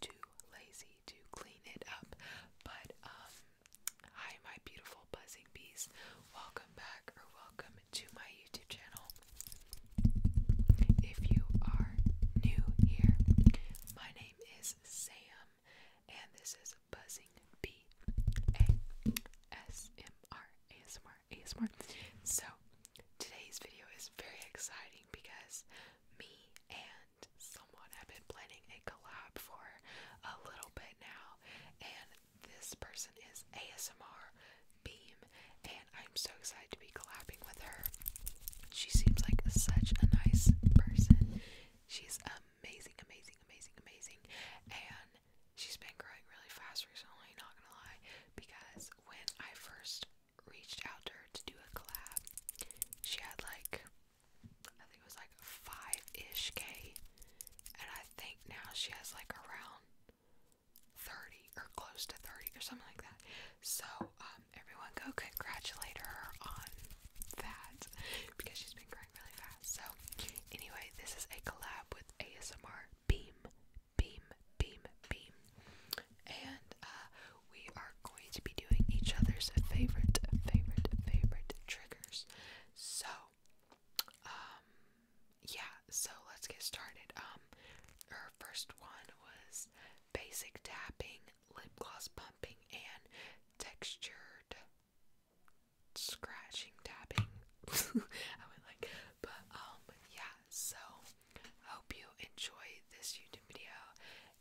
too lazy to clean it up. But um hi my beautiful buzzing bees. Welcome back or welcome to my YouTube channel. If you are new here, my name is Sam and this is Buzzing B A S M R So today's video is very exciting because me and someone have been planning a collab for a little bit now, and this person is ASMR Beam, and I'm so excited to be collabing with her. She seems like such a nice person. She's amazing, amazing, amazing, amazing, and she's been growing really fast recently, not gonna lie, because when I first reached out to her to do a collab. She had like, I think it was like five ish K, and I think now she has like around 30 or close to 30 or something like that. So, um, everyone go congratulate her on that because she's been growing really fast. So, anyway, this is a collab with ASMR Beam, Beam, Beam, Beam, and uh, we are going to be doing each other's favorite, favorite, favorite triggers. So, um, yeah, so let's get started. Um, her first one was basic tapping, lip gloss pumping, and textured scratching tapping. I went like, but um, yeah, so hope you enjoy this YouTube video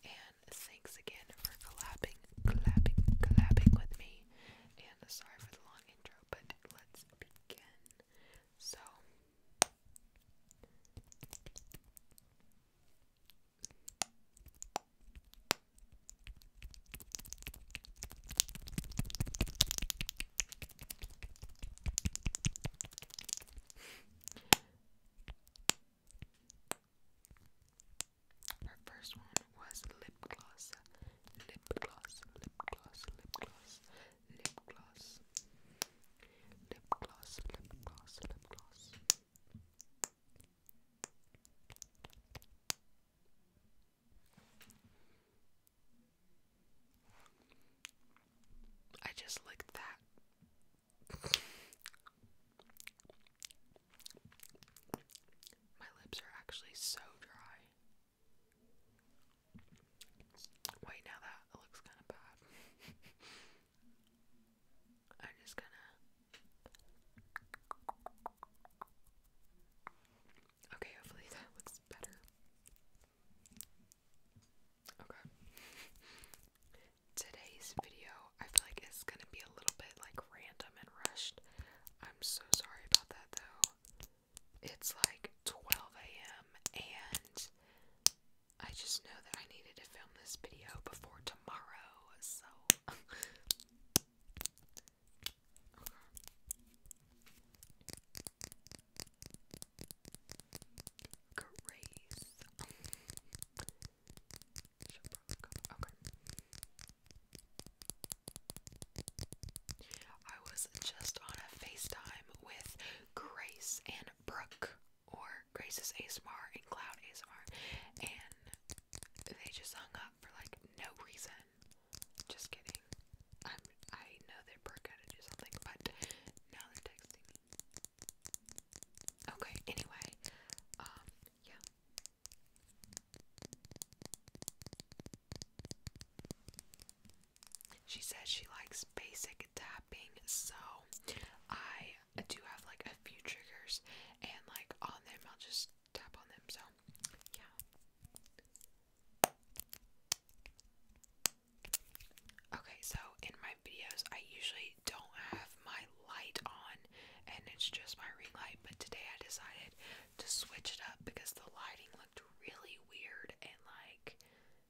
and thanks again for collabing, collabing, collabing with me. And sorry for the long intro, but let's begin. So her first one was lip gloss, lip gloss, lip gloss, lip gloss, lip gloss, lip gloss, lip gloss, lip gloss. I just licked that my lips are actually so dry. Wait, now that looks kind of bad. I'm just gonna. Okay, hopefully that looks better. Okay today's video I feel like it's gonna be a little bit like random and rushed. I'm so sorry about that though. It's like 12 a.m. and I just know that I needed to film this video before tomorrow, so Grace. okay. I was just on a FaceTime with Grace and Brooke, or Grace's ASMR and Cloud ASMR, and they just hung up for like no reason. Just kidding. I'm, I know that Brooke had to do something, but now they're texting me. Okay, anyway, um, yeah. She says she likes basic tapping, so I do have like a few triggers, and like on them, I'll just tap on them, so yeah. Okay, so in my videos, I usually don't have my light on and it's just my ring light, but today I decided to switch it up because the lighting looked really weird and like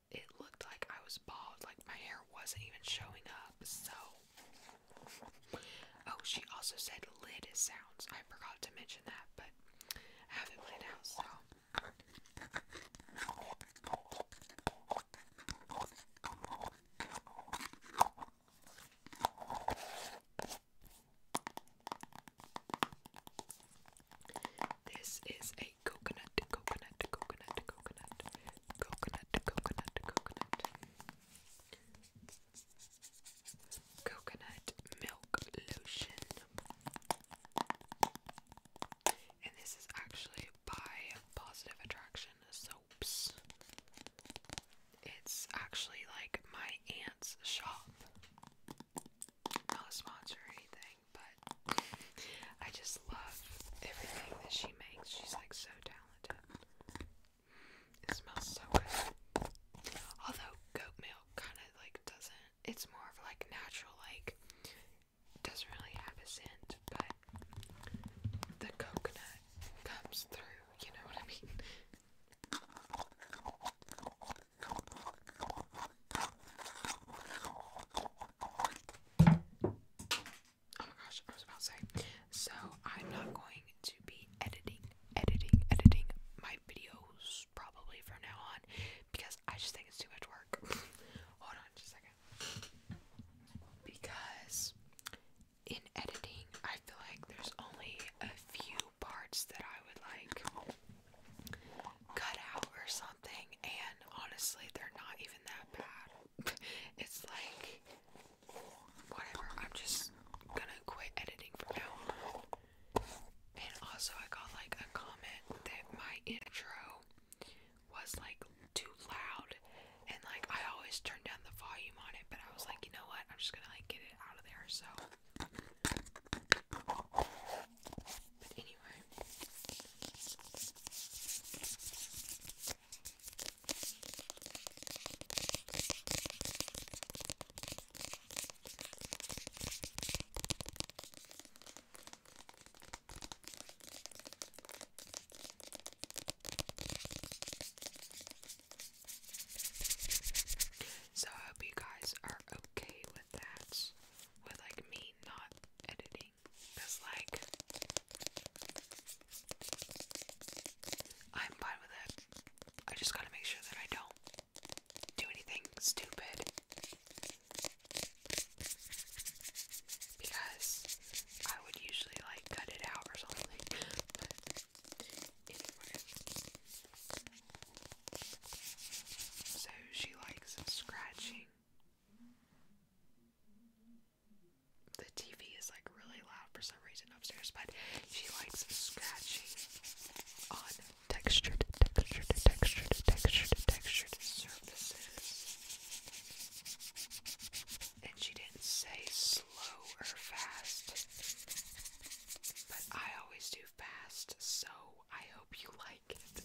it looked like I was bald, like my hair wasn't even showing up. So, oh, she also said lid sounds. I forgot to mention that, but I have it played now. so. This is a coconut, coconut, coconut, coconut, coconut, coconut, coconut, coconut milk lotion. And this is actually by Positive Attraction Soaps. It's actually like my aunt's shop. Not a sponsor or anything, but I just love everything that she makes. She's like so talented. It smells so good. Although goat milk kind of like doesn't, it's more of like natural, like doesn't really have a scent, but the coconut comes through, you know what I mean? Oh my I about to say. So, I'm not going to be editing, editing, editing my videos probably from now on because I just think it's too much work. Hold on just a second because in editing, I feel like there's only a few parts that I would like cut out or something, and honestly, they're not even that bad. it's like, whatever, I'm just gonna quit editing from now on. And also, I got like a comment that my intro was like too loud and like I always turn down the volume on it but I was like you know what I'm just gonna like get it out of there so but anyway so I hope you guys are okay with that. With like me not editing. Because like I'm fine with it. I just gotta make sure that I don't do anything stupid because I would usually like cut it out or something. so she likes scratching. The TV is like really loud for some reason upstairs, but she likes scratching on textured, textured, textured, textured, textured surfaces. And she didn't say slow or fast, but I always do fast, so I hope you like it.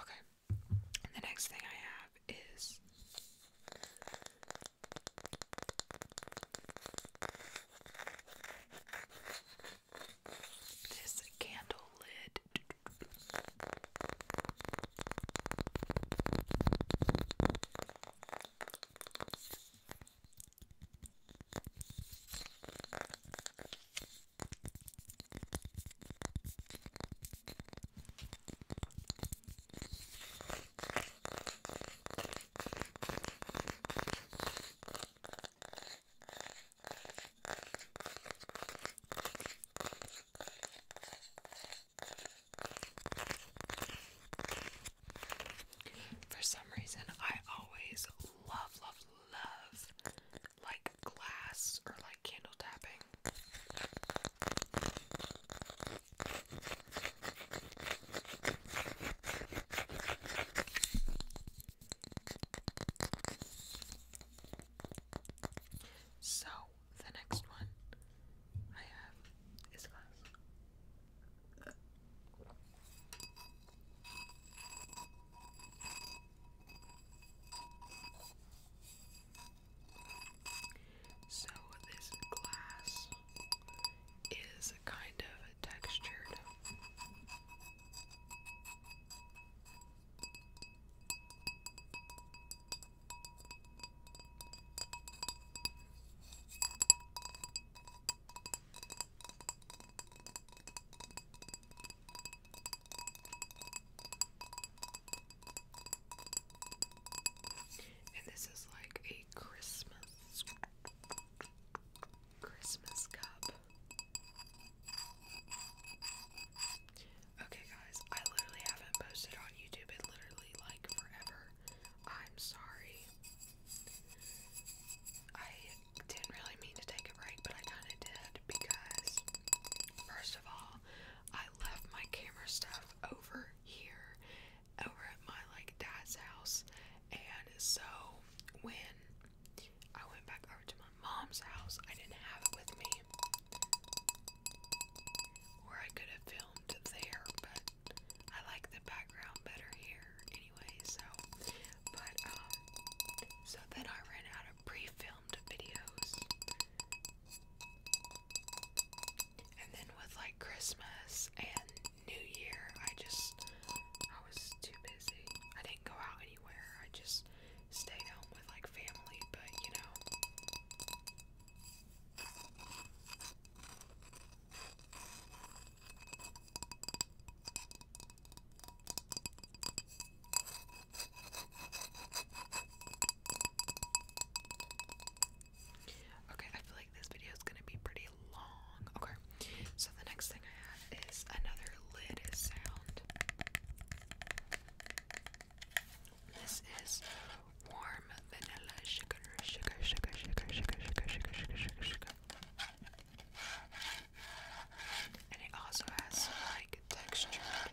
Okay, the next thing I have is this candle lid. For some reason, I always love, love, love like glass or like candle tapping. So, the next one I have is glass. So this glass is kind of textured. And this is like a Christmas Christmas cup. Okay guys, I literally haven't posted on YouTube in literally like forever. I'm sorry. I didn't really mean to take a break, but I kind of did because, first of all, I left my camera stuff over here, over at my like dad's house, and so when I went back over to my mom's house, I didn't have it with me, or I could have filmed there, but I like the background better here anyway. So, but um, so then I ran out of pre-filmed videos and then with like Christmas and New Year, I just I was too busy. I didn't go out anywhere. I just stayed home with like family, but you know. Okay, I feel like this video is gonna be pretty long. Okay, so the next thing I have is another lid sound. This is warm vanilla sugar, sugar, sugar, sugar, sugar, sugar, sugar, sugar, sugar, sugar. And it also has like textured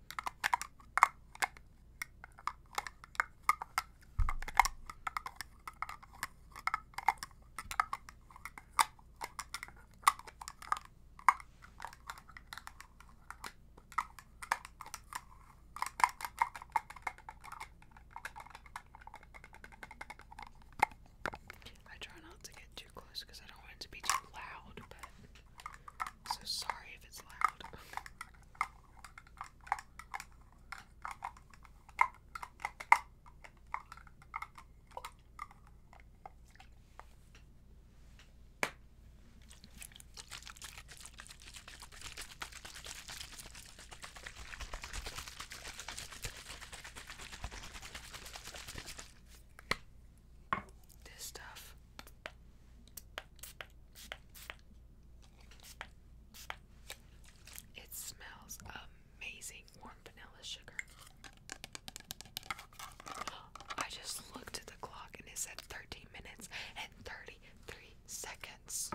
I try not to get too close because I don't want to be too loud, so sorry if it's loud. This stuff it smells amazing warm vanilla sugar. I just looked at the clock and it said 13 minutes and 33 seconds.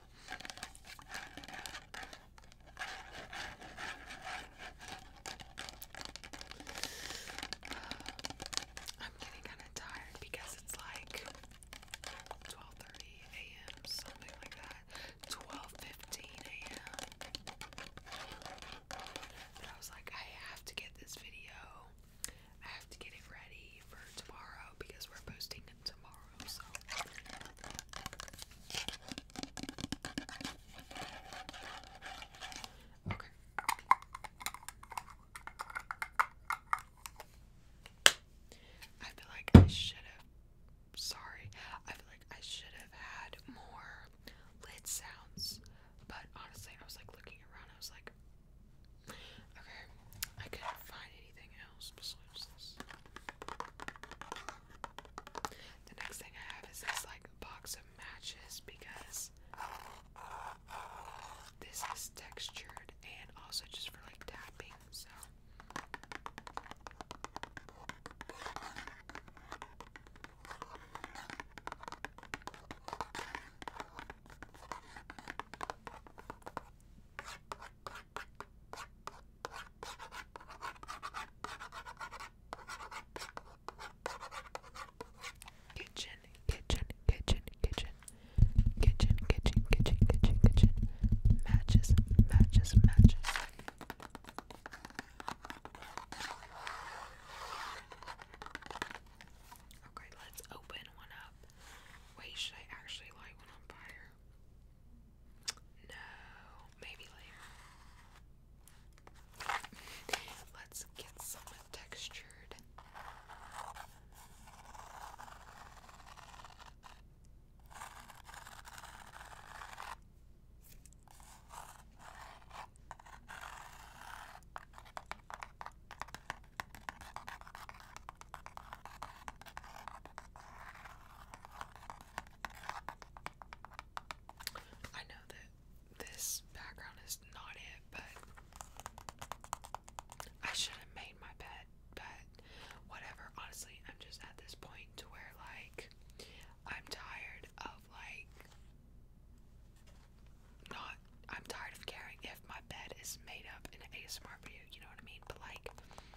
I'm getting kind of tired because it's like 12:30 a.m. something like that. 12:15 a.m. But I was like, I have to get this video. I have to get it ready for tomorrow because we're posting tomorrow. So. Okay. I feel like I should have. Sorry. I feel like I should have had more lid sounds. But honestly, I was like looking around. I was like, okay, I couldn't find anything else the next thing I have is this like box of matches because this is textured and also just for like tapping, so Kitchen, kitchen, kitchen, kitchen, kitchen, kitchen, kitchen, kitchen, kitchen, matches, matches, matches. Okay, let's open one up. Wait, should I actually light one on fire? No, maybe later. Let's get some textured. I know that this background is not it, but I should have made my bed, but whatever. Honestly, I'm just at this point to where, like, I'm tired of, like, not. I'm tired of caring if my bed is made up in a smart view. you know what I mean? But, like,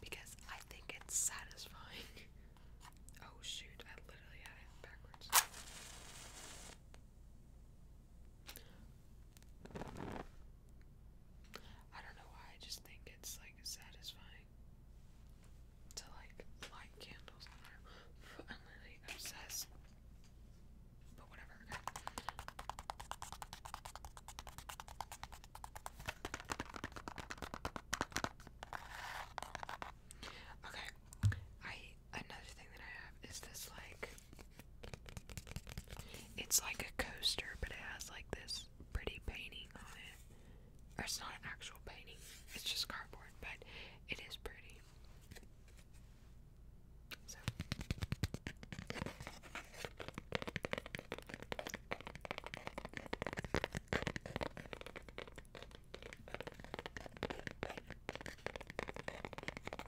Because I think it's satisfying. oh shoot, I literally had it backwards. I don't know why, I just think it's like satisfying to like light candles. I am really obsessed. But whatever. Okay. I another thing that I have is this like it's like a coaster, but it has like this pretty painting on it. Or it's not an actual painting, it's just cardboard, but it is pretty. So.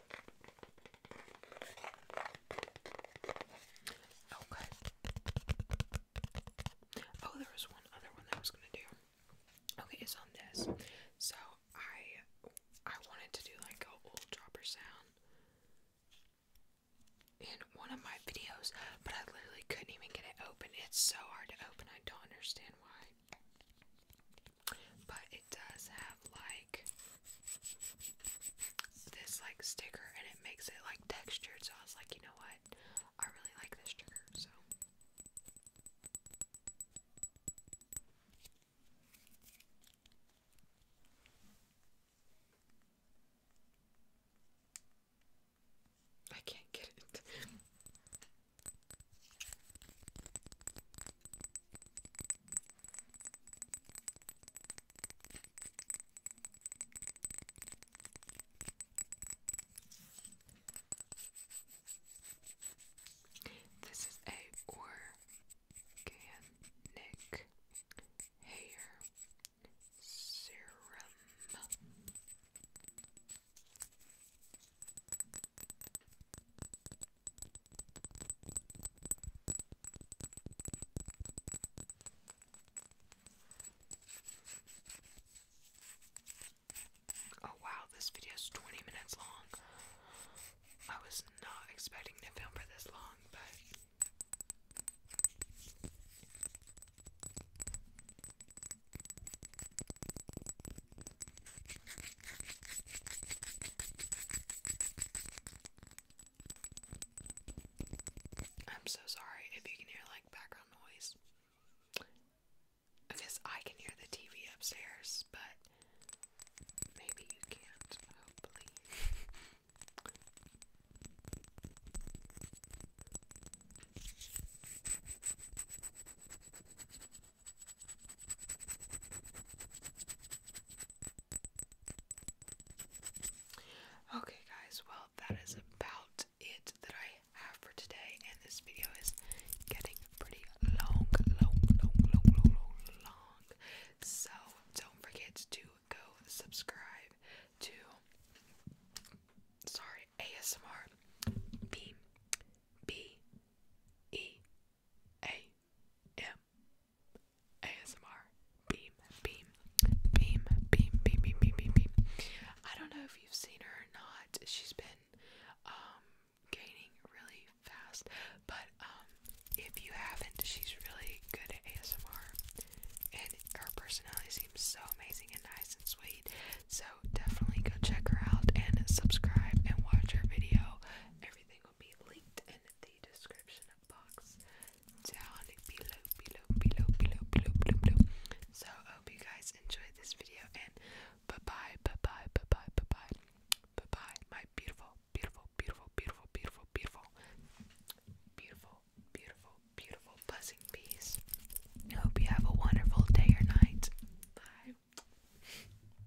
Okay. Oh, there was one other one that I was gonna do. Okay, it's on this. So I I wanted to do like a old dropper sound in one of my videos, but I literally couldn't even get it open. It's so hard to open. I don't understand why. But it does have like this like sticker and it makes it like textured. So I was like, you know what? I really like this trigger. So I can't get it. This is a organic hair serum. Oh wow, this video is 20 minutes long. I was not expecting to film for this long, but I'm so sorry if you can hear like background noise. I guess I can hear the TV upstairs, but maybe you can't, hopefully. Okay, guys, well, that is about it that I have for today, and this video is getting pretty long, long, long, long, long, long, So, don't forget to go subscribe to, sorry, ASMR B B E a M ASMR beam beam beam beam beam beam beam beam I don't know if you've seen her or not. She's been um, gaining really fast, but um, if you haven't, she's really good ASMR and her personality seems so amazing and nice and sweet. So definitely go check her out and subscribe and watch her video. Everything will be linked in the description box down below, below, below, below, below, below, So I hope you guys enjoyed this video and bye bye, bye bye, bye bye, bye bye, bye my beautiful, beautiful, beautiful, beautiful, beautiful, beautiful, beautiful, beautiful, beautiful, blessing peace. hope you have a wonderful day or night. Bye.